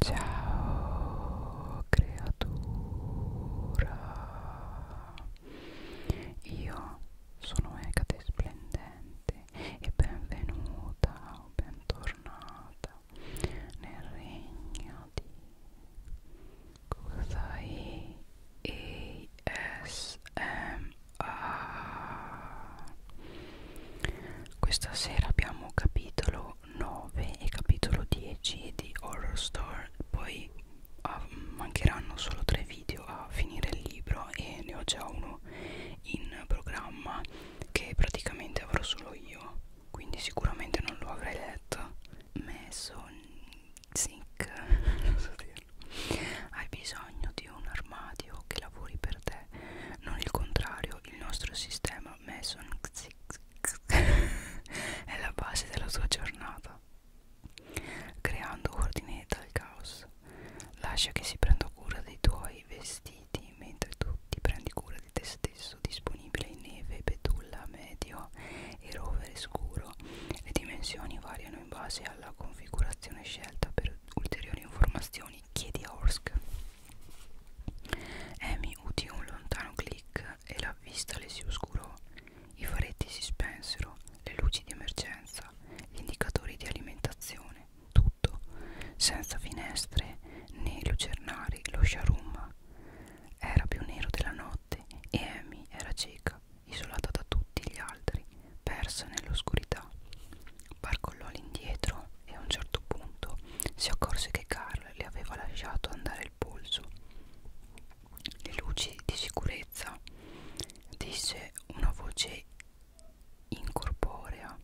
Ciao creatura, io sono Egate Splendente e benvenuta o bentornata nel regno di Kusai ASMR Ah. Questa sera abbiamo capitolo 9 e capitolo 10 di Horror Store, poi ah, mancheranno solo 3 video a finire il libro e ne ho già uno in programma che praticamente avrò solo io, quindi sicuramente non lo avrei letto. Me son zinc, non so dire all'interno. Hai bisogno di un armadio che lavori per te, non il contrario. Il nostro sistema Mason è la base della tua giornata, creando ordine dal caos. Lascia che si prenda cura dei tuoi vestiti mentre tu ti prendi cura di te stesso. Disponibile in neve, betulla, medio e rovere scuro. Le dimensioni variano in base alla configurazione scelta per ulteriori informazioni chiedi a Orsk Amy udì un lontano click e la vista le si oscurò i faretti si spensero le luci di emergenza gli indicatori di alimentazione tutto senza finestre né lucernari lo sciarumma era più nero della notte e Amy era cieca isolata da tutti gli altri persa nell'oscurità. Barcollò all'indietro e a un certo punto si accorse che Carl le aveva lasciato andare il polso. Le luci di sicurezza, disse una voce incorporea.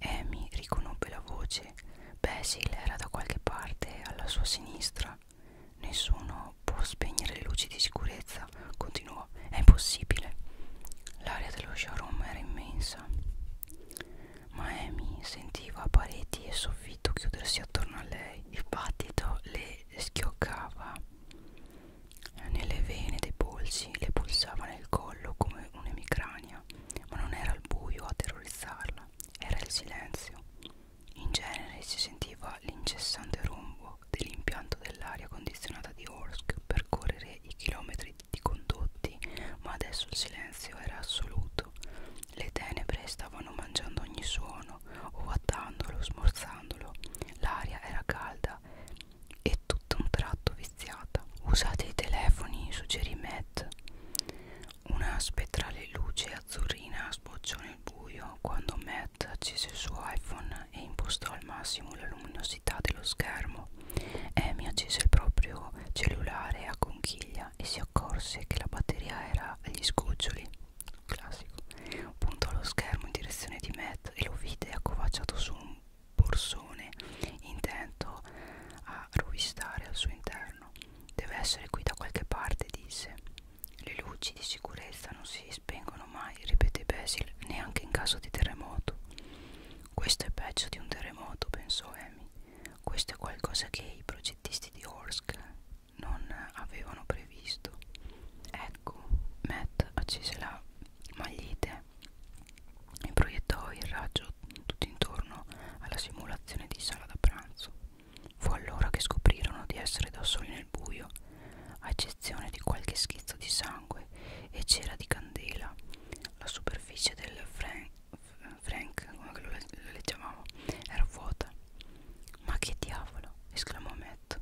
Amy riconobbe la voce. Basil era da qualche parte alla sua sinistra. Nessuno può spegnere le luci di sicurezza forza, continuò, è impossibile. L'aria dello showroom era immensa. Ma Amy sentiva pareti e soffitto chiudersi attorno a lei. Il battito le schioccava nelle vene dei polsi, le pulsava nel collo come un'emicrania, ma non era il buio a terrorizzarla, era il silenzio. In genere si sentiva l'incessante rombo dell'impianto dell'aria condizionata di Orsk percorrere i chilometri di condotti, ma adesso il silenzio era assoluto. Le tenebre stavano mangiando ogni suono, ovattandolo, smorzandolo. L'aria era calda e tutto un tratto viziata. Usate i telefoni, suggerì Matt. Una spettrale luce azzurrina sbocciò nel buio quando Matt accese il suo iPhone e impostò al massimo la luminosità dello schermo. Amy accese il proprio cellulare a conchiglia e si accorse che la batteria era agli sgoccioli. Classico. Puntò lo schermo in direzione di Matt e lo vide accovacciato su un borsone intento a rovistare al suo interno. Deve essere qui da qualche parte, disse. Le luci di sicurezza non si spengono mai, ripete Basil, neanche in caso di terremoto. Questo è peggio di un terremoto, pensò Amy. Questo è qualcosa che i progettisti di Orsk non avevano previsto. Ecco, Matt accese la magliete e proiettò il raggio tutto intorno alla simulazione di sala da pranzo. Fu allora che scoprirono di essere da soli nel buio eccezione di qualche schizzo di sangue e cera di candela. La superficie del Frank, Frank come lo, lo leggevamo, era vuota. Ma che diavolo! esclamò Matt.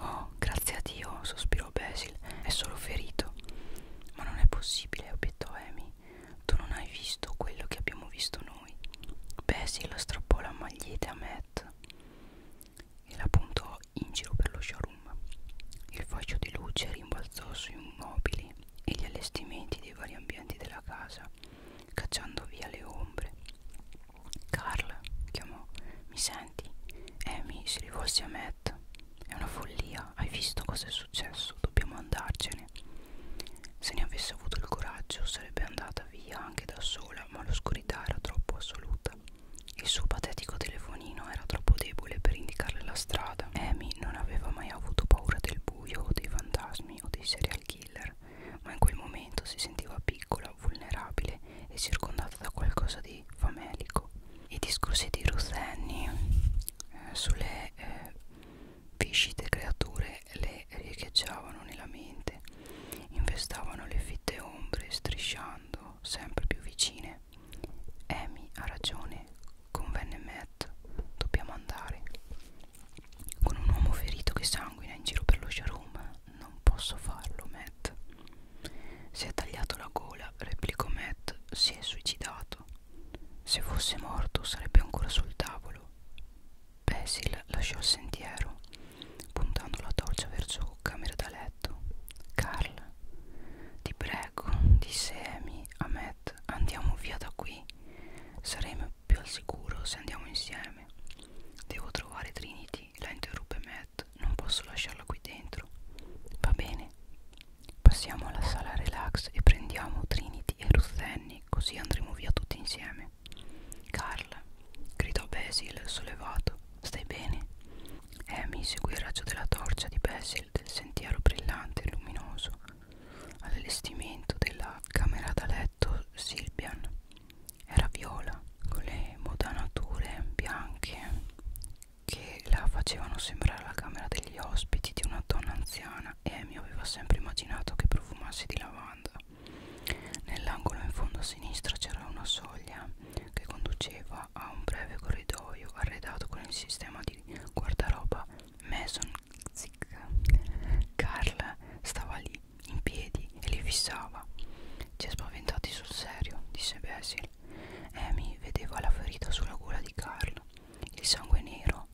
Oh, grazie a Dio, sospirò Basil, è solo ferito. Ma non è possibile, obiettò Amy. Tu non hai visto quello che abbiamo visto noi. Basil strappò la maglietta a Matt e la puntò in giro per lo showroom. Il fascio di luce rimbalzò sui mobili e gli allestimenti dei vari ambienti della casa, cacciando via le ombre. Carl chiamò: Mi senti? Amy si rivolse a Matt. È una follia, hai visto cosa è successo? Dobbiamo andarcene. Se ne avesse avuto il coraggio sarebbe andata via anche da sola, ma l'oscurità era troppo assoluta. Il suo patetico telefonino era troppo debole per indicarle la strada. Amy non aveva mai avuto paura del buio o dei fantasmi o dei serial killer, ma in quel momento si sentiva piccola, vulnerabile e circondata da qualcosa di famelico. I discorsi di Ruth Annie eh, sulle eh, viscite creature le riecheggiavano nella mente, infestavano le fitte ombre, strisciando sempre più vicine. Amy ha ragione, convenne Matt, dobbiamo andare. Con un uomo ferito che sanguina in giro per lo showroom, non posso farlo, Matt. Si è tagliato la gola, replicò Matt, si è suicidato. Se fosse morto sarebbe ancora sul tavolo. Basil lasciò il sentiero, puntando la torcia verso camera da letto. Carl, ti prego, disse Amy a Matt, andiamo via da qui. Saremo più al sicuro se andiamo insieme. Devo trovare Trinity, la interruppe Matt, non posso lasciarla qui dentro. Va bene, passiamo alla sala relax e prendiamo Trinity e Ruth Annie, così andremo via tutti insieme. Carl, gridò Basil sollevato, stai bene? Amy eh, seguì il raggio della torcia di Basil del sentiero brillante e luminoso all'allestimento della camera da letto Silvian. Era viola, con le modanature bianche che la facevano sembrare la camera degli ospiti di una donna anziana e Amy aveva sempre immaginato che profumasse di lavanda. Nell'angolo in fondo a sinistra c'era una soglia che conduceva a un breve corridoio arredato con il sistema di guardaroba Mason Zick. Carl stava lì, in piedi, e li fissava. Ci è spaventati sul serio, disse Basil. Amy vedeva la ferita sulla gola di Carl, il sangue nero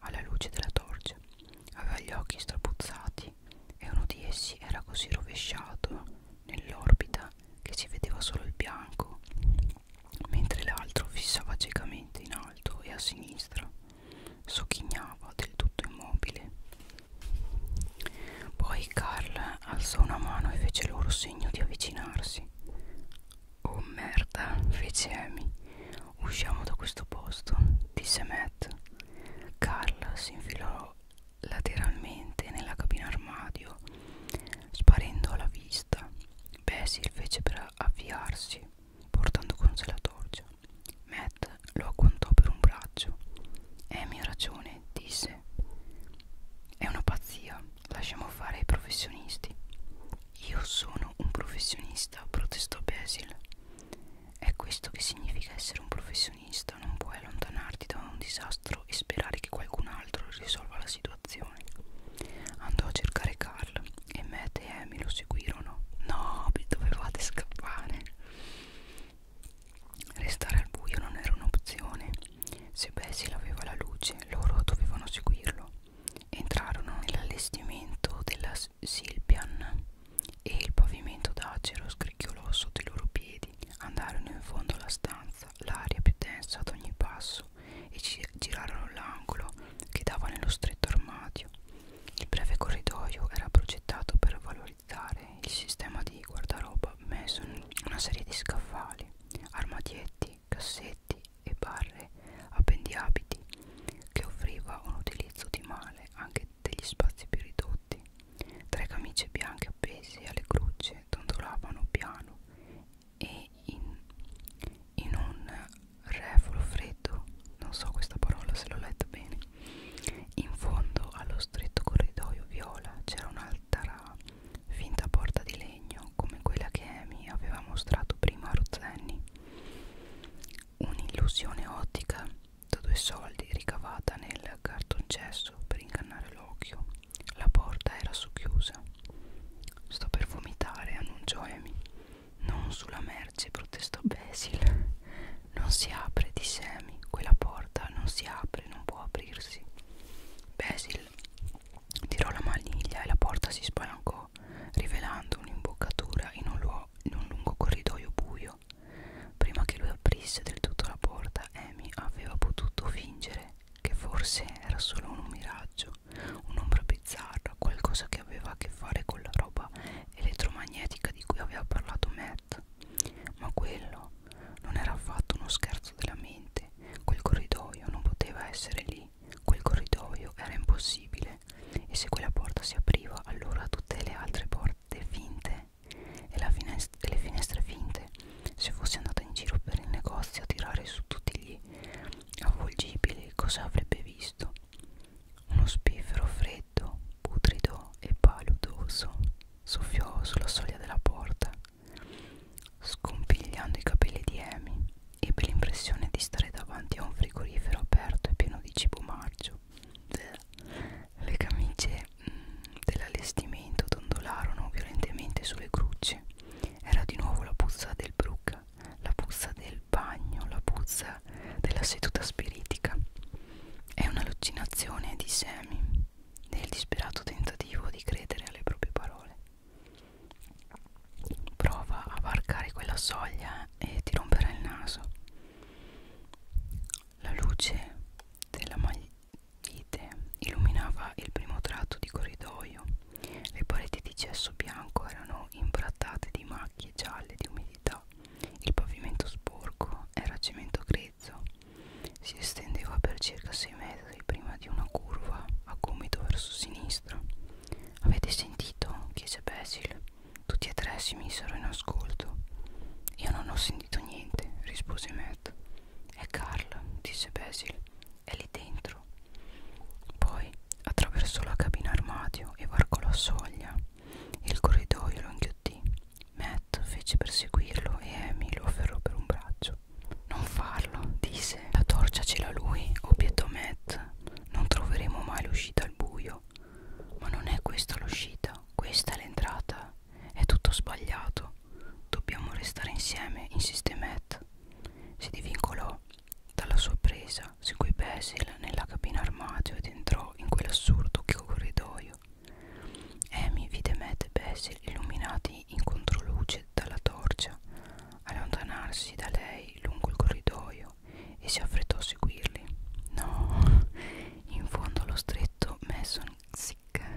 alla luce della torcia. Aveva gli occhi strapuzzati e uno di essi era così rovesciato nell'orbita che ci vedeva solo il bianco, mentre l'altro fissava ciecamente in alto e a sinistra, sogghignava del tutto immobile. Poi Carl alzò una mano e fece loro segno di avvicinarsi. Oh merda, fece Amy. Usciamo da questo posto, disse Matt. Carl si infilò lateralmente nella cabina armadio sparendo alla vista. Basil fece per avviarsi, portando con sé la torcia. Matt lo agguantò per un braccio. Amy ha ragione, disse. È una pazzia, lasciamo fare ai professionisti. Io sono un professionista, protestò Basil. È questo che significa essere un professionista, non puoi allontanarti da un disastro disastro e sperare che qualcun altro risolva la situazione. Andò a cercare Carl e Matt e Amy lo seguirono. No, dovevate scappare. Restare al buio non era un'opzione. Se Bessie l'aveva la luce, loro dovevano seguirlo. Entrarono nell'allestimento della Silpian e il pavimento d'acero scricchiolò sotto i loro piedi piedi, andarono in fondo alla stanza, l'aria più densa ad ogni passo, e ci girarono l'angolo che dava nello stretto armadio. Il breve corridoio era progettato per valorizzare il sistema di guardaroba messo in una serie di scaffali, armadietti, cassetti e barre appendiabiti che offriva un utilizzo di male anche degli spazi più ridotti. Tre camicie bianche appese alle cruce dondolavano piano e in, in un refolo freddo non so questa parola se l'ho letta bene in fondo allo stretto corridoio viola c'era un'altra finta porta di legno come quella che Amy aveva mostrato prima a Rozzenni un'illusione ottica da due soldi ricavata nel cartoncesso per ingannare l'occhio la porta era socchiusa. Sto per vomitare, annunciò Amy. Non sulla merce, protestò Basil. Non si apre, disse Amy. Quella porta non si apre, non può aprirsi. Basil tirò la maniglia e la porta si spalancò, rivelando un'imboccatura in un, luogo, in un lungo corridoio buio. Prima che lui aprisse del tutto la porta, Amy aveva potuto fingere che forse era solo un miraggio, un'ombra bizzarra, qualcosa che aveva a che fare con la roba elettromagnetica di cui aveva parlato Matt. Ma quello non era affatto uno scherzo della mente, quel corridoio non poteva essere lì, quel corridoio era impossibile e se quella porta si apriva allora tutte le altre porte finte e, la e le finestre finte se fosse andata in giro per il negozio a tirare su tutti gli avvolgibili cosa avrebbe visto? Uno spiffero freddo, putrido e paludoso soffiò sulla soglia della porta, scompigliando i capelli di Amy. Ebbe l'impressione di stare davanti a un frigorifero aperto e pieno di cibo marcio. Le camicie mm, dell'allestimento dondolarono violentemente sulle grucce era di nuovo la puzza del brook, la puzza del bagno, la puzza della seduta spiritica. È un'allucinazione, disse Amy, nel disperato tentativo di credere alle proprie parole. Prova a varcare quella soglia e ti romperà il naso. La luce della, vite illuminava il primo tratto di corridoio. Le pareti di gesso bianco erano imbrattate di macchie gialle di umidità. Il pavimento sporco era cemento grezzo. Si estendeva per circa 6 metri prima di una curva a gomito verso sinistra. Avete sentito? chiese Basil. Tutti e tre si misero in ascolto. Io non ho sentito niente, rispose Matt. È Carl, disse Basil, è lì dentro. Poi attraversò la cabina armadio e varcò la soglia. Il corridoio lo inghiottì. Matt fece per seguirlo e Amy lo afferrò per un braccio. Non farlo, disse. La torcia ce l'ha lui, obiettò Matt. Non troveremo mai l'uscita al buio. Ma non è questa l'uscita, questa è l'entrata. È tutto sbagliato. Dobbiamo restare insieme, insiste Matt. Si divincolò dalla sua presa, seguì Basil nella cabina armadio ed entrò in quell'assurdo corridoio. Amy vide Matt e Basil illuminati in controluce dalla torcia, allontanarsi da lei lungo il corridoio e si affrettò a seguirli. No, in fondo allo stretto Mason si Jack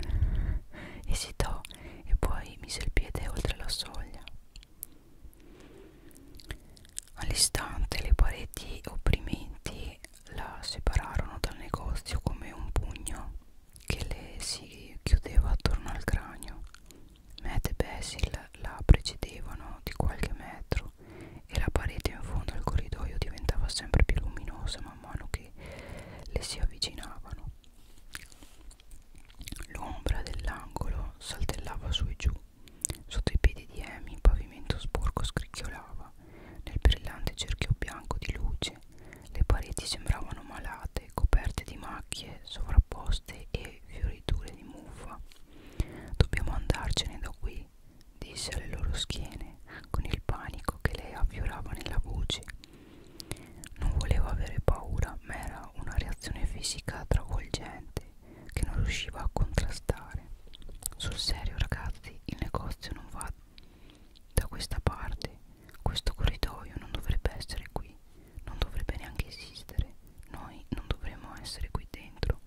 esitò e poi mise il piede oltre la soglia. All'istante le pareti opprimenti la separarono dal negozio come un pugno che le si chiudeva attorno al cranio. Matt e Basil la precedevano di qualche metro e la parete in fondo al corridoio diventava sempre più luminosa man mano che le si avvicinavano. L'ombra dell'angolo saltellava su e giù. Sotto i piedi di Amy il pavimento sporco scricchiolava. Nel brillante cerchio bianco di luce le pareti sembravano malate, coperte di macchie sovrapposte e fioriture di muffa. Dobbiamo andarcene da qui, disse alle loro schiene, con il panico che le affiorava nella voce. Non volevo avere paura, ma era una reazione fisica travolgente che non riusciva a contrastare. Sul serio, ragazzi, il negozio non va da questa parte. Questo corridoio non dovrebbe essere qui, non dovrebbe neanche esistere. Noi non dovremmo essere qui dentro.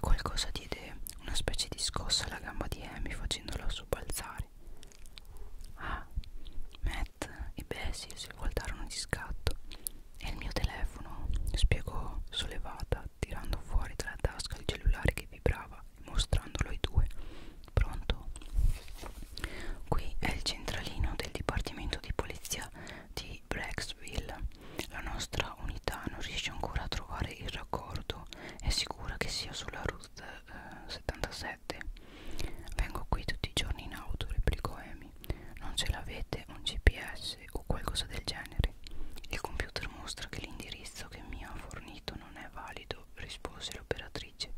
Qualcosa diede una specie di scossa alla gamba di Amy facendola sobbalzare. Ah, Matt e Bessie si voltarono di scatto e il mio telefono, spiegò sollevata, tirando fuori dalla tasca il cellulare che vibrava e mostrandolo ai due. Pronto? Qui è il centralino del dipartimento di polizia di Brecksville. La nostra unità non riesce ancora a trovare il raccordo. È sicura che sia sulla route 77 vengo qui tutti i giorni in auto replicò Amy non ce l'avete un gps o qualcosa del genere il computer mostra che l'indirizzo che mi ha fornito non è valido rispose l'operatrice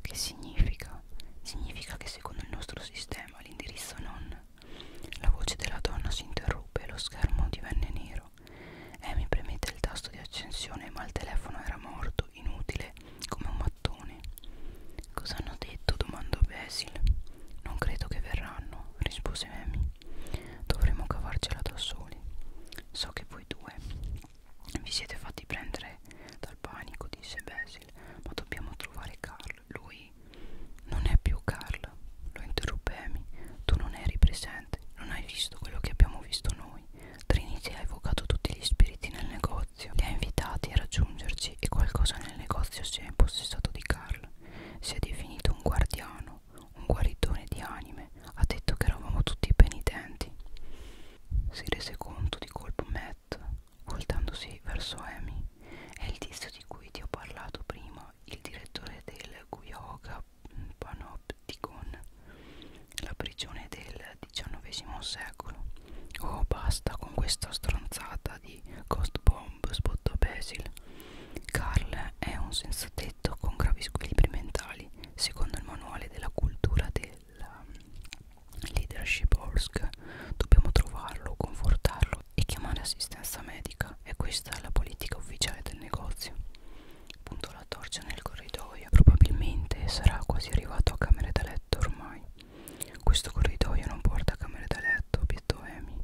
che significa significa che secondo il nostro sistema l'indirizzo non la voce della donna si interruppe e lo schermo divenne nero Amy premette il tasto di accensione ma il telefono era morto tanto inutile come un mattone. Cosa hanno detto? domandò Basil. Non credo che verranno, rispose Amy. Dovremo cavarcela da soli. So che voi due vi siete fatti prendere dal panico, disse Basil, ma dobbiamo trovare Carl. Lui non è più Carl, lo interruppe Amy. Tu non eri presente, non hai visto quello che abbiamo visto noi. Trinity ha evocato tutti gli spiriti nel negozio, li ha invitati a raggiungerci e qualcosa nel negozio si è impossessato di Carl. Si è definito un guardiano, un guaritore di anime, ha detto che eravamo tutti penitenti. Si rese conto di colpo Matt, voltandosi verso Amy. È il tizio di cui ti ho parlato prima, il direttore del Guyoga Panopticon, la prigione del XIX secolo. Oh, basta con questa stronzata di Ghost Bomb, spottò Basil. Carl è un senza tetto con gravi squilibri mentali, secondo il manuale della cultura della mm, leadership Orsk. Dobbiamo trovarlo, confortarlo e chiamare assistenza medica. E questa è la politica ufficiale del negozio. Punto la torcia nel corridoio. Probabilmente sarà quasi arrivato a camere da letto ormai mai. Questo corridoio non porta a camere da letto, obiettò Amy,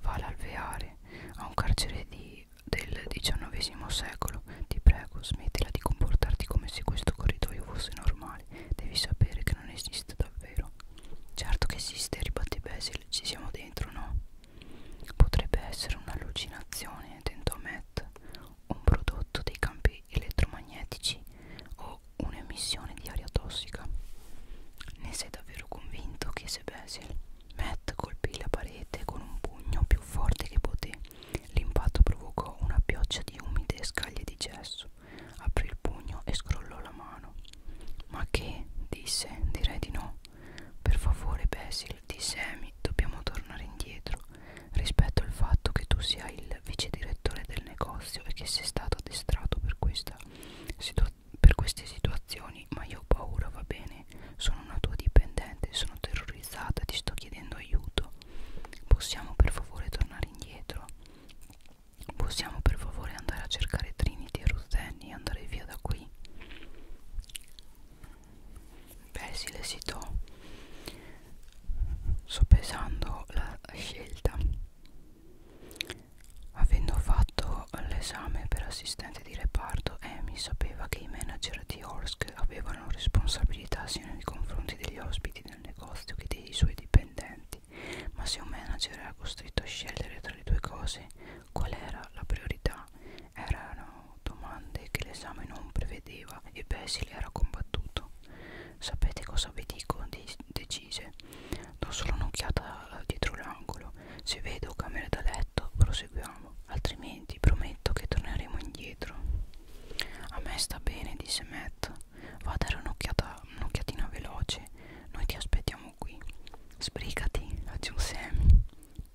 va all'alveare, a un carcere di, del XIX secolo. Ti prego, smettila di comportarti come se questo corridoio fosse normale. Devi sapere che non esiste davvero. Certo che esiste, ribatte Basil, ci siamo dentro, no? Potrebbe essere un'allucinazione, tentò Matt un prodotto dei campi elettromagnetici o un'emissione di aria tossica. Ne sei davvero convinto? chiese Basil. Matt colpì la parete con un pugno più forte che poté. L'impatto provocò una pioggia di umide scaglie di gesso. Aprì il pugno e scrollò la mano. Ma che? disse. Direi di no. Per favore, Basil, disse Amy, dobbiamo tornare indietro rispetto al fatto che tu sia il vice direttore del negozio e che sei stato addestrato per, questa per queste situazioni, ma io ho paura, va bene, sono una tua dipendente, sono terrorizzata, ti sto chiedendo aiuto. Possiamo per favore tornare indietro? Possiamo per favore andare a cercare Trinity e Ruzzeni e andare via da qui? Basil esitò sto pesando la scelta avendo fatto l'esame per assistente di reparto Amy sapeva che i manager di Orsk avevano responsabilità sia nei confronti degli ospiti del negozio che dei suoi dipendenti ma se un manager era costretto a scegliere tra le due cose qual era la priorità erano domande che l'esame non prevedeva e Basil era combattuto Sapete cosa vi dico? decise. Do solo un'occhiata dietro l'angolo. Se vedo camera da letto, proseguiamo. Altrimenti prometto che torneremo indietro. A me sta bene, disse Matt. Va a dare un'occhiata, un'occhiatina veloce. Noi ti aspettiamo qui. Sbrigati, aggiunse Amy.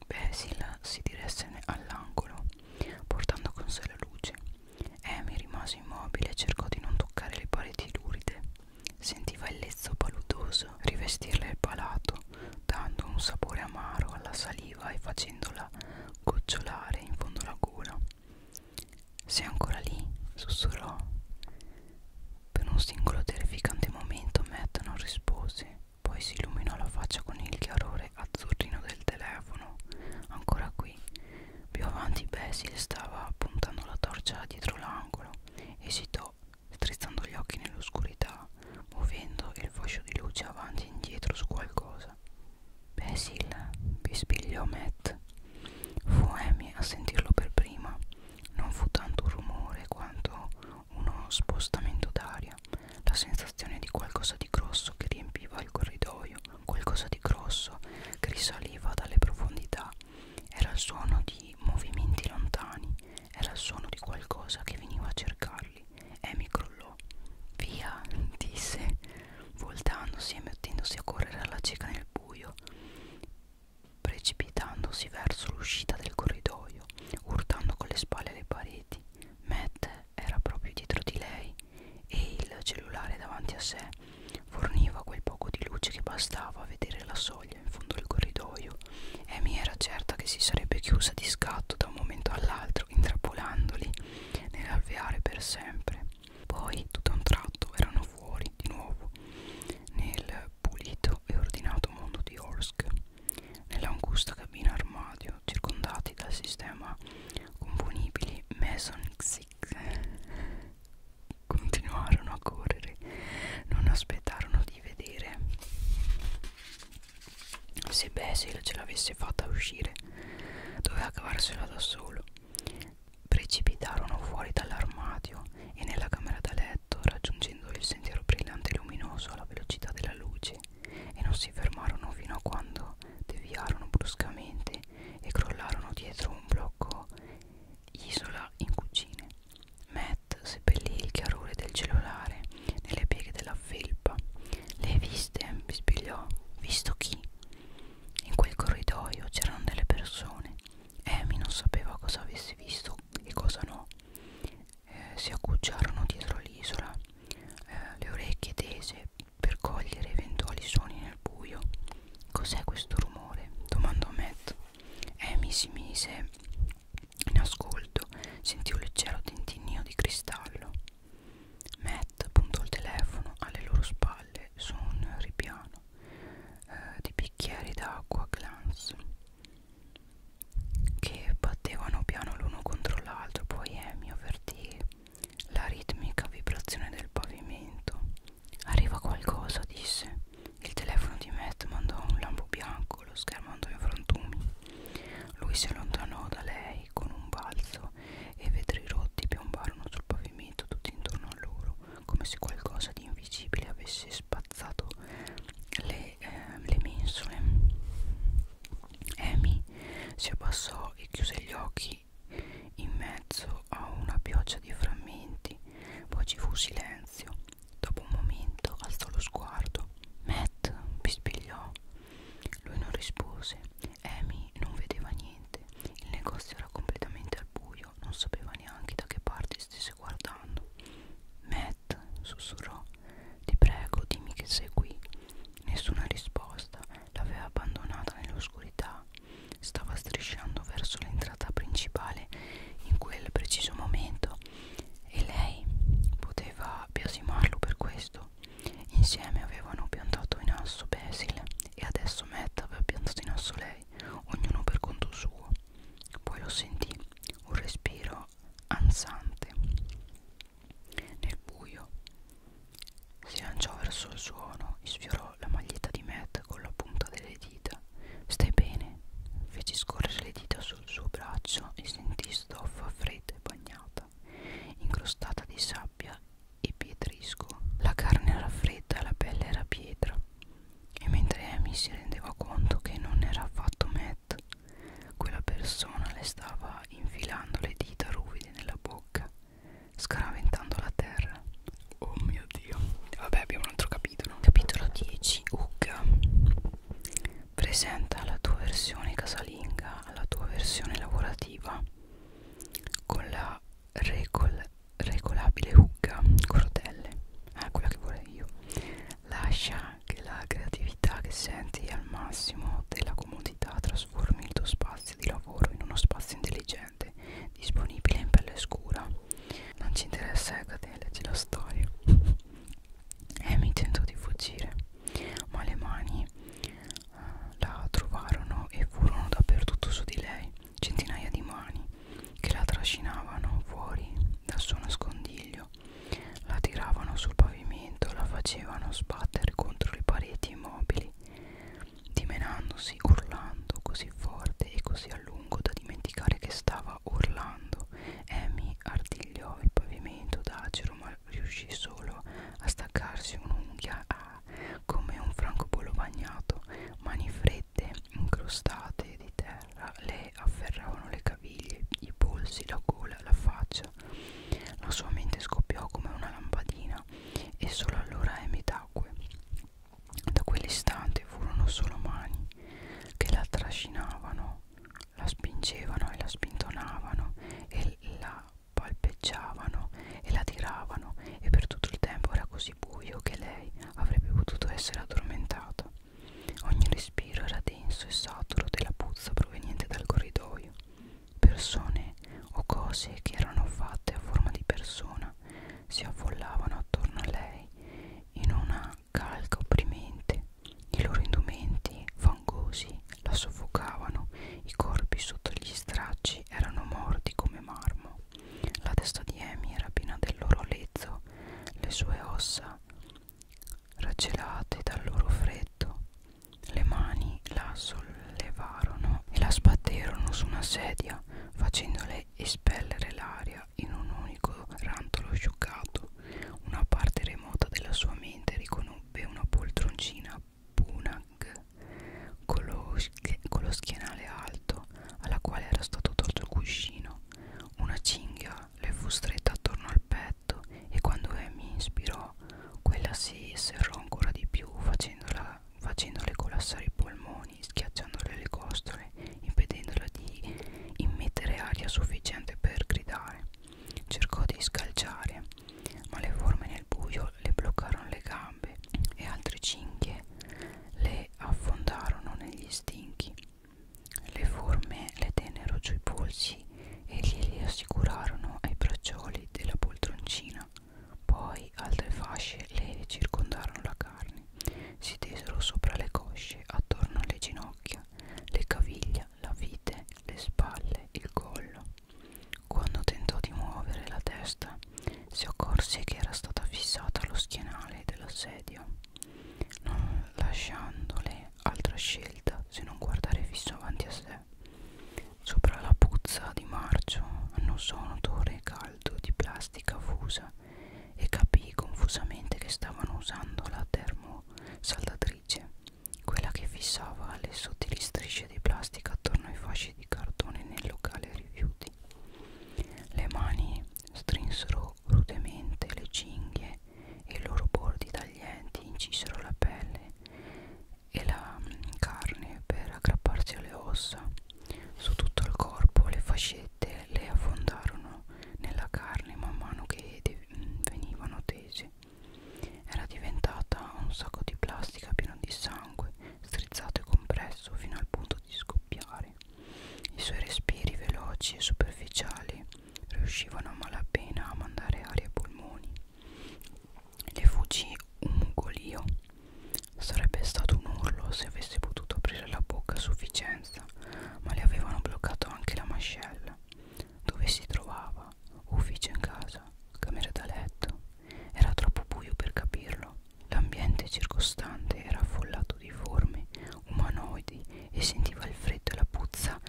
Basil si diresse all'angolo, portando con sé la luce. Amy eh, rimase immobile e cercò di non toccare le pareti luride. Sentiva il lezzo paludoso rivestirle il palato, dando un sapore amaro alla saliva e facendola gocciolare in fondo alla gola. Sei ancora lì? sussurrò. Per un singolo terrificante momento Matt non rispose, poi si illuminò la faccia con il chiarore azzurrino del telefono. Ancora qui, più avanti Basil stava puntando la torcia dietro l'angolo. Esitò, strizzando gli occhi nell'oscurità, muovendo il fascio di luce avanti e indietro su qualcosa. Basil, bispigliò Matt. Fu Amy a sentirlo per prima. Non fu tanto un rumore quanto uno spostamento d'aria, la sensazione di qualcosa di grosso che riempiva il corridoio Qualcosa di grosso che risaliva dalle profondità. Era il suono di movimenti lontani, era il suono di qualcosa che veniva a cercarli. Amy crollò. Via, disse, voltandosi e mettendosi a correre alla cieca nel buio, precipitandosi verso l'uscita del corridoio, urtando con le spalle le pareti. Matt era proprio dietro di lei e il cellulare davanti a sé forniva quel poco di luce che bastava a vedere la soglia in fondo al corridoio. Amy era certa che si sarebbe chiusa di scatto da un momento all'altro, intrappolandoli nell'alveare per sempre. Poi, tutto a un tratto, erano fuori di nuovo nel pulito e ordinato mondo di Orsk, nell'angusta cabina armadio, circondati dal sistema componibili Mason Xix continuarono a correre, non aspettarono di vedere se Basil ce l'avesse fatta uscire, doveva cavarsela da solo. Precipitarono fuori dall'armadio e nella camera da letto, raggiungendo il sentiero brillante e luminoso alla velocità della luce, e non si fermarono fino a quando deviarono bruscamente e crollarono dietro un blocco isola in cucine. Matt seppellì il chiarore del cellulare nelle pieghe della felpa. Le hai viste? bispigliò. Visto chi? In quel corridoio c'erano delle persone. Amy non sapeva cosa avesse visto e cosa no. Eh, si accucciarono dietro l'isola, eh, le orecchie tese per cogliere eventuali suoni nel buio. Cos'è questo rumore? domandò Matt. Amy eh, si mise in ascolto, sentì un leggero tintinnio di cristallo. Matt puntò il telefono alle loro spalle su un ripiano eh, di bicchieri d'acqua glans che battevano piano l'uno contro l'altro. Poi Amy eh, avvertì la ritmica vibrazione del pavimento. Arriva qualcosa, disse. Il telefono di Matt mandò un lampo bianco, lo schermo andò in frantumi. Lui si allontanò da lei con un balzo e i vetri rotti piombarono sul pavimento tutti intorno a loro, come se qualcosa di invisibile avesse spazzato le, eh, le mensole. Amy si abbassò e chiuse gli occhi lì in mezzo a una pioggia di frammenti poi ci fu silenzio dopo un momento alzò lo sguardo Matt pispigliò lui non rispose Amy non vedeva niente il negozio era completamente al buio non sapeva neanche da che parte stesse guardando Matt sussurrò ti prego dimmi che sei qui nessuna risposta l'aveva abbandonata nell'oscurità. Stava strisciando verso l'entrata principale in quel preciso momento e lei poteva biasimarlo per questo. Insieme avevano piantato in asso Basil e adesso Matt aveva piantato in asso lei, ognuno per conto suo. Poi lo sentì, un respiro ansante nel buio si lanciò verso il suono e sfiorò la maglietta di Matt con la punta delle dita. Stai bene? Fece scorrere le dita sul suo braccio e sentì stoffa fredda e bagnata, incrostata di sabbia e pietrisco. La carne era fredda e la pelle era pietra. E mentre Amy si rendeva conto che non era affatto Matt, quella persona le stava infilando le dita ruvide nella bocca scaraventando la terra. Oh mio dio. Vabbè, abbiamo un altro capitolo. Capitolo 10. Ugga. Presenta la tua versione casalinga, la tua versione lavorativa con la regol, regolabile Ugga con rotelle. Ah, quella che vorrei io. Lascia che la creatività che senti al massimo della comodità trasformi il tuo spazio di lavoro in uno spazio intelligente divertente disponibile in pelle scura non ci interessa Ecate, ecco, leggi la storia Amy tentò di fuggire ma le mani uh, la trovarono e furono dappertutto su di lei centinaia di mani che la trascinavano fuori dal suo nascondiglio la tiravano sul pavimento la facevano sbattere contro le pareti immobili dimenandosi, urlando così forte e così a lungo da dimenticare che stava urlando. Amy artigliò il pavimento d'acero ma riuscì solo a staccarsi un'unghia ah, come un francobollo bagnato. Mani fredde, incrostate di terra, le afferravano le caviglie, i polsi, la gola, la faccia. La sua mente scoppiò come una lampadina mia e solo allora Amy tacque. Da quell'istante furono solo mani che la trascinavano, la spingevano e la spintonavano e la palpeggiavano e la tiravano e per tutto il tempo era così buio che lei avrebbe potuto essere addormentata. Ogni respiro era denso e saturo della puzza proveniente dal corridoio persone o cose che erano fatte a forma di persona si affollavano attorno a lei in una calca opprimente. I loro indumenti fangosi la soffocavano, i corpi sotto gli stracci erano morti come marmo. La testa di Amy era piena del loro lezzo, le sue ossa raggelate dal loro freddo, le mani la assollavano levarono e la sbatterono su una sedia facendole espellere l'aria in un unico rantolo scioccato. Una parte remota della sua mente riconobbe una poltroncina Punag con lo, con lo schienale alto alla quale era stato tolto il cuscino. Una cinghia le fu stretta attorno al petto e quando Amy inspirò, quella si serrò ancora di più facendola facendole collassare i polmoni, schiacciandole le costole, impedendola di immettere aria sufficiente per gridare. Cercò di scalciare, ma le forme nel buio le bloccarono le gambe e altre cinghie le affondarono negli stinchi. Le forme le tennero sui polsi e glieli assicurarono ai braccioli della poltroncina poi altre fasce le circondarono la carne, si tesero sopra le cosce, attorno alle ginocchia, le caviglia, la vite, le spalle, il collo. Quando tentò di muovere la testa, si accorse che era stata fissata allo schienale dell'assedio, non lasciandole altra scelta se non guardare fisso avanti a sé. Sopra la puzza di marcio annusò un odore caldo di plastica fusa e capì confusamente che stavano usando la termosaldatrice, quella che fissava le sottili strisce di plastica attorno ai fasci di cartone nel locale rifiuti. Le mani strinsero rudemente le cinghie e i loro bordi taglienti incisero la pelle e la carne per aggrapparsi alle ossa su tutto il corpo le fascette le affondarono nella carne man mano che venivano tese era diventata un sacco di plastica pieno di sangue strizzato e compresso fino al punto di scoppiare i suoi respiri veloci e superficiali riuscivano a malapena a mandare aria ai polmoni le fuggì un mugolio Sarebbe stato un urlo se avesse potuto aprire la bocca a sufficienza, ma le avevano bloccato anche la mascella. Dove si trovava? Ufficio in casa, camera da letto. Era troppo buio per capirlo. L'ambiente circostante era affollato di forme umanoidi e sentiva il freddo e la puzza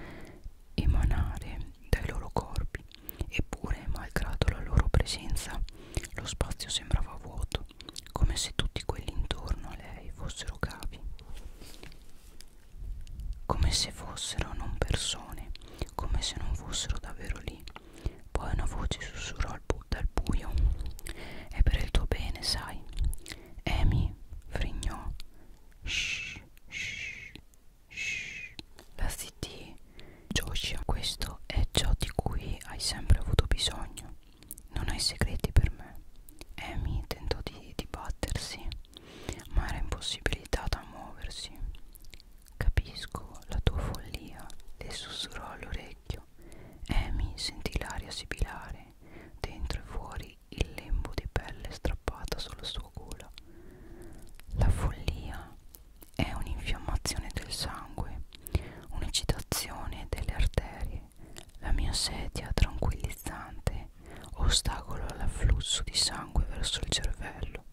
emanare dai loro corpi. Eppure, malgrado la loro presenza, lo spazio sembrava vuoto, come se tutti quelli intorno a lei fossero cavi, come se fossero non persone, come se non fossero davvero lì. Poi una voce sussurrò al bu dal buio: È per il tuo bene, sai. Amy frignò. Shh, shh, shh. La zittì Joshua, questo è ciò di cui hai sempre avuto bisogno. Non hai segreti per me. Amy tentò di dibattersi, ma era impossibilitata a muoversi. Capisco la tua follia, le sussurrò all'orecchio. Amy sentì l'aria sibilare, dentro e fuori il lembo di pelle strappata sulla sua gola. La follia è un'infiammazione del sangue, un'eccitazione delle arterie, la mia sedia tranquillizzante ostacola l'afflusso di sangue verso il cervello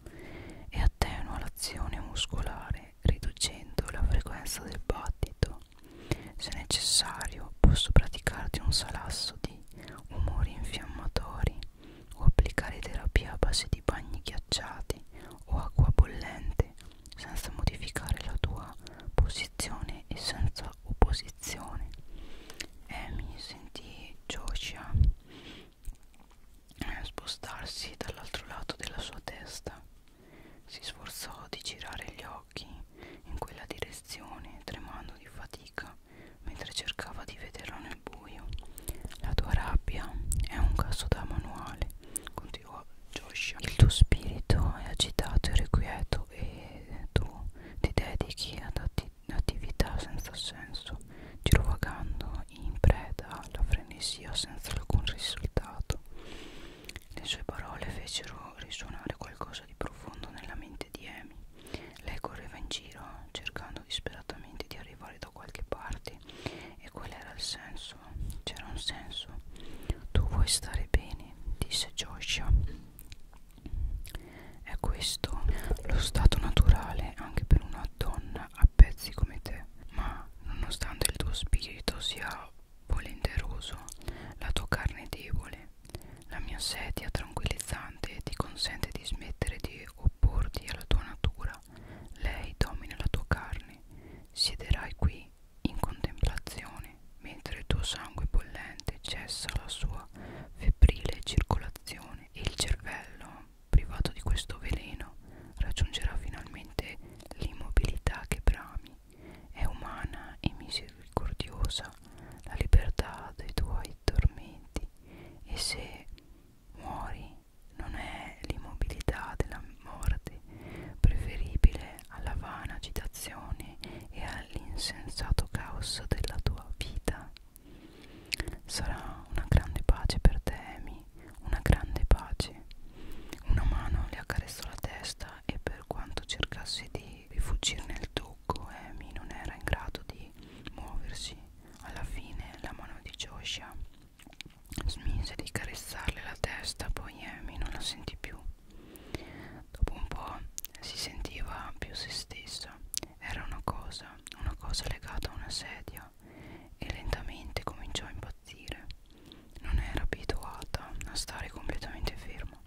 e attenua l'azione muscolare riducendo la frequenza del battito. Se necessario posso praticarti un salasso di umori infiammatori o applicare terapia a base di bagni ghiacciati o acqua bollente mente senza modificare la tua posizione e senza opposizione e eh, mi sentì Joshua eh, spostarsi dall'altro lato della sua testa si sforzò di girare gli occhi in quella direzione tremando di fatica mentre cercava di vederlo nel buio la tua rabbia è un caso da manuale continuò diceva Josh il tuo spirito è agitato e requieto e tu ti dedichi ad atti attività senza senso girovagando in preda alla frenesia senza alcun risultato le sue parole fecero risuonare qualcosa di profondo nella mente di Amy lei correva in giro cercando disperatamente di arrivare da qualche parte e qual era il senso senso, c'era un senso. Tu vuoi stare bene, disse Joshua. È questo lo stato naturale anche per una donna a pezzi come te. Ma nonostante il tuo spirito sia volenteroso, la tua carne è debole. La mia sedia tranquillizzante ti consente di smettere di opporti alla tua natura. Lei domina la tua carne Siederai qui in contemplazione mentre il tuo sangue bollente cessa la sua febbrile circolazione e il cervello, privato di questo veleno, raggiungerà finalmente l'immobilità che brami. È umana e misericordiosa la libertà dei tuoi tormenti e se muori non è l'immobilità della morte preferibile alla vana agitazione e all'insensato caos della tua vita sarà una grande pace per te Amy una grande pace una mano le accarezzò la testa e per quanto cercasse di rifuggire nel tocco Amy non era in grado di muoversi alla fine la mano di Joshua Smise di carezzarle la testa, poi Amy non la sentì più. Dopo un po' si sentiva più se stessa. Era una cosa, una cosa legata a una sedia e lentamente cominciò a impazzire. Non era abituata a stare completamente ferma.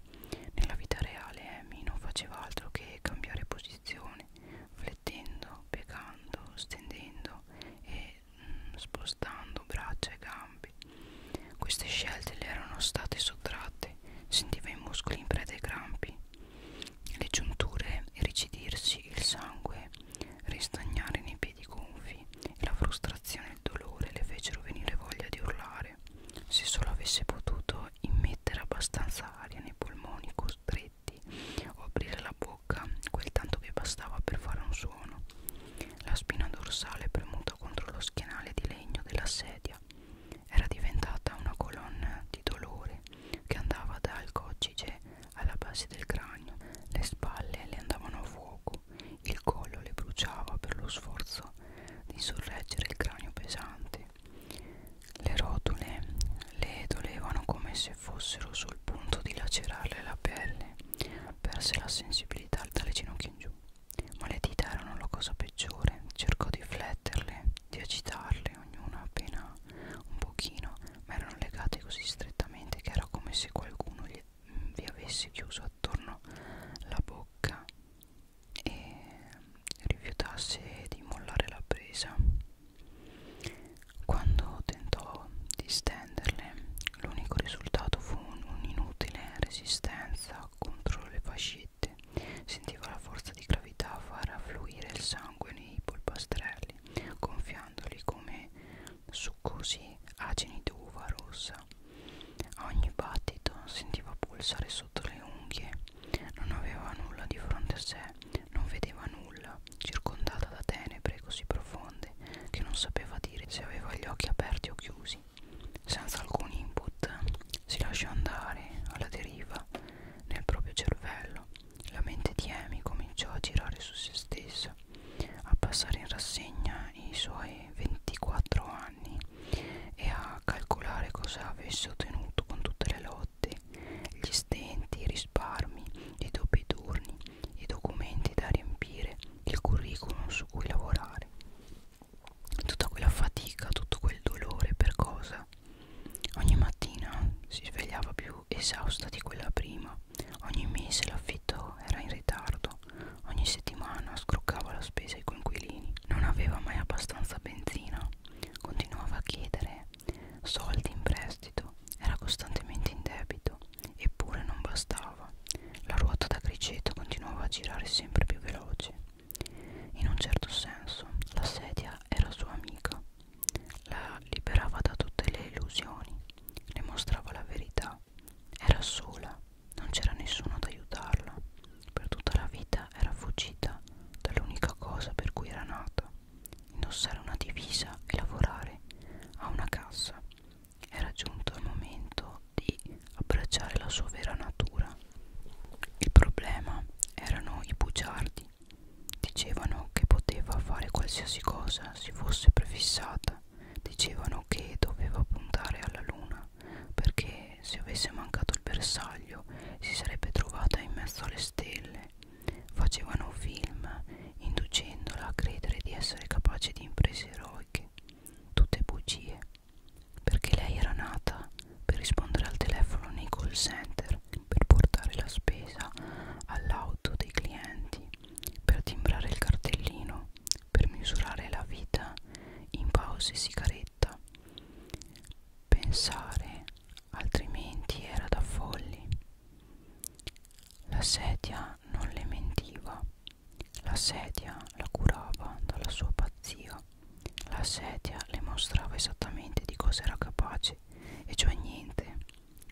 Nella vita reale Amy non faceva altro che cambiare posizione, flettendo, piegando, stendendo e spostando braccia e gambe. Queste scelte le erano state sottratte, sentiva i muscoli in preda ai crampi, le giunture rigidirsi, il sangue ristagnare nei piedi gonfi e la frustrazione e il dolore le fecero venire voglia di urlare. Se solo avesse potuto immettere abbastanza aria nei polmoni costretti o aprire la bocca bocca, quel tanto che bastava per fare un suono. La spina dorsale premuta contro lo schienale di legno della sedia era diventata una colonna di dolore che andava dal coccige alla base del cranio. Le spalle le andavano a fuoco, il collo le bruciava per lo sforzo di sorreggere il cranio pesante. Le rotule le dolevano come se fossero sul punto di lacerarle la pelle. Perse la sensibilità dalle ginocchia in giù, ma le dita erano la cosa peggiore. Cercò di fletterle, di agitarle, ognuna appena un pochino, ma erano legate così strettamente che era come se qualcuno gli, vi avesse chiuso attorno la bocca e rifiutasse di mollare la presa. Quando tentò di stenderle, l'unico risultato fu un'inutile resistenza contro le fascette. Sentiva la forza di gravità far affluire il sangue nei polpastrelli, gonfiandoli come succosi acini d'uva rossa. A ogni battito sentiva pulsare sotto le unghie. Non aveva nulla di fronte a sé, non vedeva nulla, via, circondata da tenebre così profonde che non sapeva dire se aveva gli occhi aperti o chiusi. Senza alcun input si lasciò andare alla deriva nel proprio cervello. La mente di Amy cominciò a girare su se stessa, a passare in rassegna i suoi 24 anni e a calcolare cosa avesse ottenuto con tutte le lotte, gli stenti, i risparmi, i doppi turni, i documenti da riempire, il curriculum su cui lavorare. Tutta quella fatica, tutto quel dolore per cosa? Ogni mattina si svegliava più esausta di quella prima, ogni mese l'affitto era in ritardo, ogni settimana scroccava la spesa ai coinquilini, non aveva mai abbastanza benzina, continuava a chiedere soldi in prestito prestito, era costantemente in debito, eppure non bastava. La ruota da criceto continuava a girare sempre più veloce. In un certo senso, la sedia era sua amica. La liberava da tutte le illusioni, le mostrava la verità. Era sola, non c'era nessuno ad aiutarla. Per tutta la vita era fuggita dall'unica cosa per cui era nata indossare una divisa e lavorare a una cassa era giunto il momento di abbracciare la sua vera natura. Il problema erano i bugiardi. Dicevano che poteva fare qualsiasi cosa si fosse prefissata, dicevano che doveva puntare alla luna, perché se avesse mancato il bersaglio si sarebbe trovata in mezzo alle stelle. Facevano film inducendola a credere di essere capace di imprese eroiche, tutte bugie, perché lei era nata per rispondere al telefono nei call center, per portare la spesa all'auto dei clienti, per timbrare il cartellino, per misurare la vita in pause e sigaretta. Pensare altrimenti era da folli. La sedia non le mentiva, la sedia la curava dalla sua pazzia, la sedia le mostrava esattamente di cosa era capace, e cioè niente.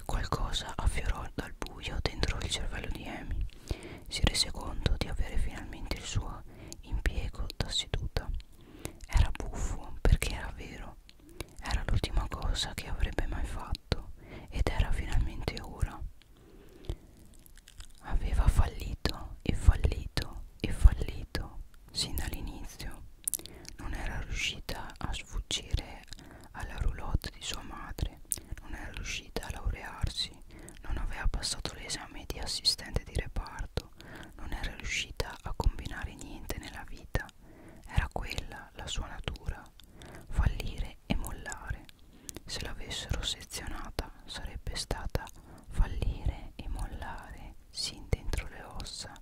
Qualcosa affiorò dal buio dentro il cervello di Amy. Si rese conto di avere finalmente il suo impiego da seduta. Era buffo perché era vero. Era l'ultima cosa che avrebbe mai fatto fatto ed era finalmente ora. Aveva fallito e fallito e fallito sin dall'inizio. Non era riuscita a sfuggire alla roulotte di sua madre, non era riuscita a laurearsi, non aveva passato l'esame di assistente di reparto, non era riuscita a combinare niente nella vita. Era quella la sua natura, fallire e mollare se l'avessero sezionata sarebbe stata fallire e mollare sin dentro le ossa.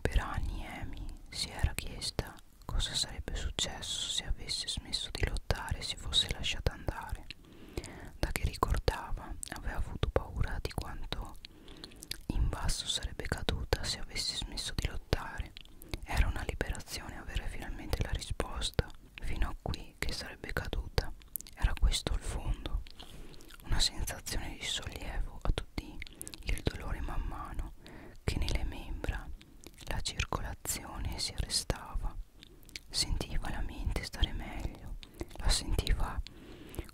Per anni Amy si era chiesta cosa sarebbe successo se avesse smesso di lottare e si fosse lasciata andare. Da che ricordava aveva avuto paura di quanto in basso sarebbe caduta se avesse smesso di lottare era una liberazione avere finalmente la risposta, fino a qui che sarebbe caduta. Era questo il fondo. Una sensazione di sollievo a tutti il dolore man mano che nelle membra la circolazione si arrestava. Sentiva la mente stare meglio, la sentiva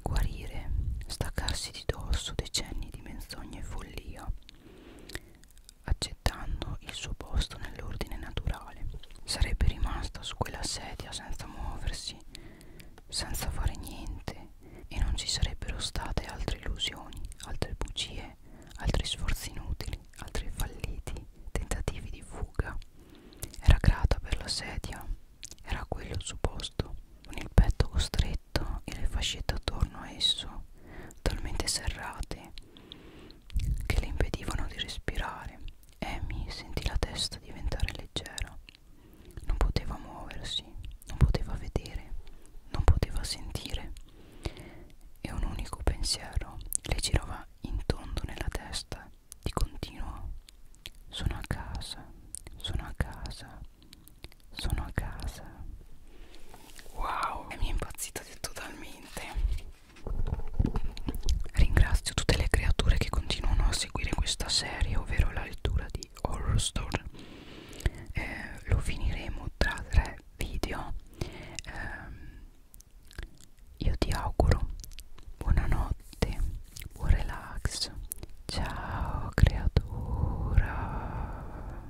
guarire, staccarsi di dosso decenni di menzogne e follia accettando il suo posto nell'ordine naturale. Sarebbe rimasta su quella sedia senza muoversi, senza fare niente e non ci sarebbero state altre illusioni, altre bugie, altri sforzi inutili, altri falliti, tentativi di fuga. Era grata per la sedia, era quello il suo posto, con il petto costretto berretto e le fascette attorno a esso, talmente serrate che le impedivano di respirare. Amy sentì la testa diventare leggera. Non poteva muoversi, non poteva vedere, non poteva sentire. E un unico pensiero le girava in tondo nella testa, di continuo. Sono a casa, sono a casa, sono a casa wow e mi è impazzita totalmente ringrazio tutte le creature che continuano a seguire questa serie ovvero la lettura di Horror Store eh, lo finiremo tra tre video eh, io ti auguro buonanotte buon relax ciao creatura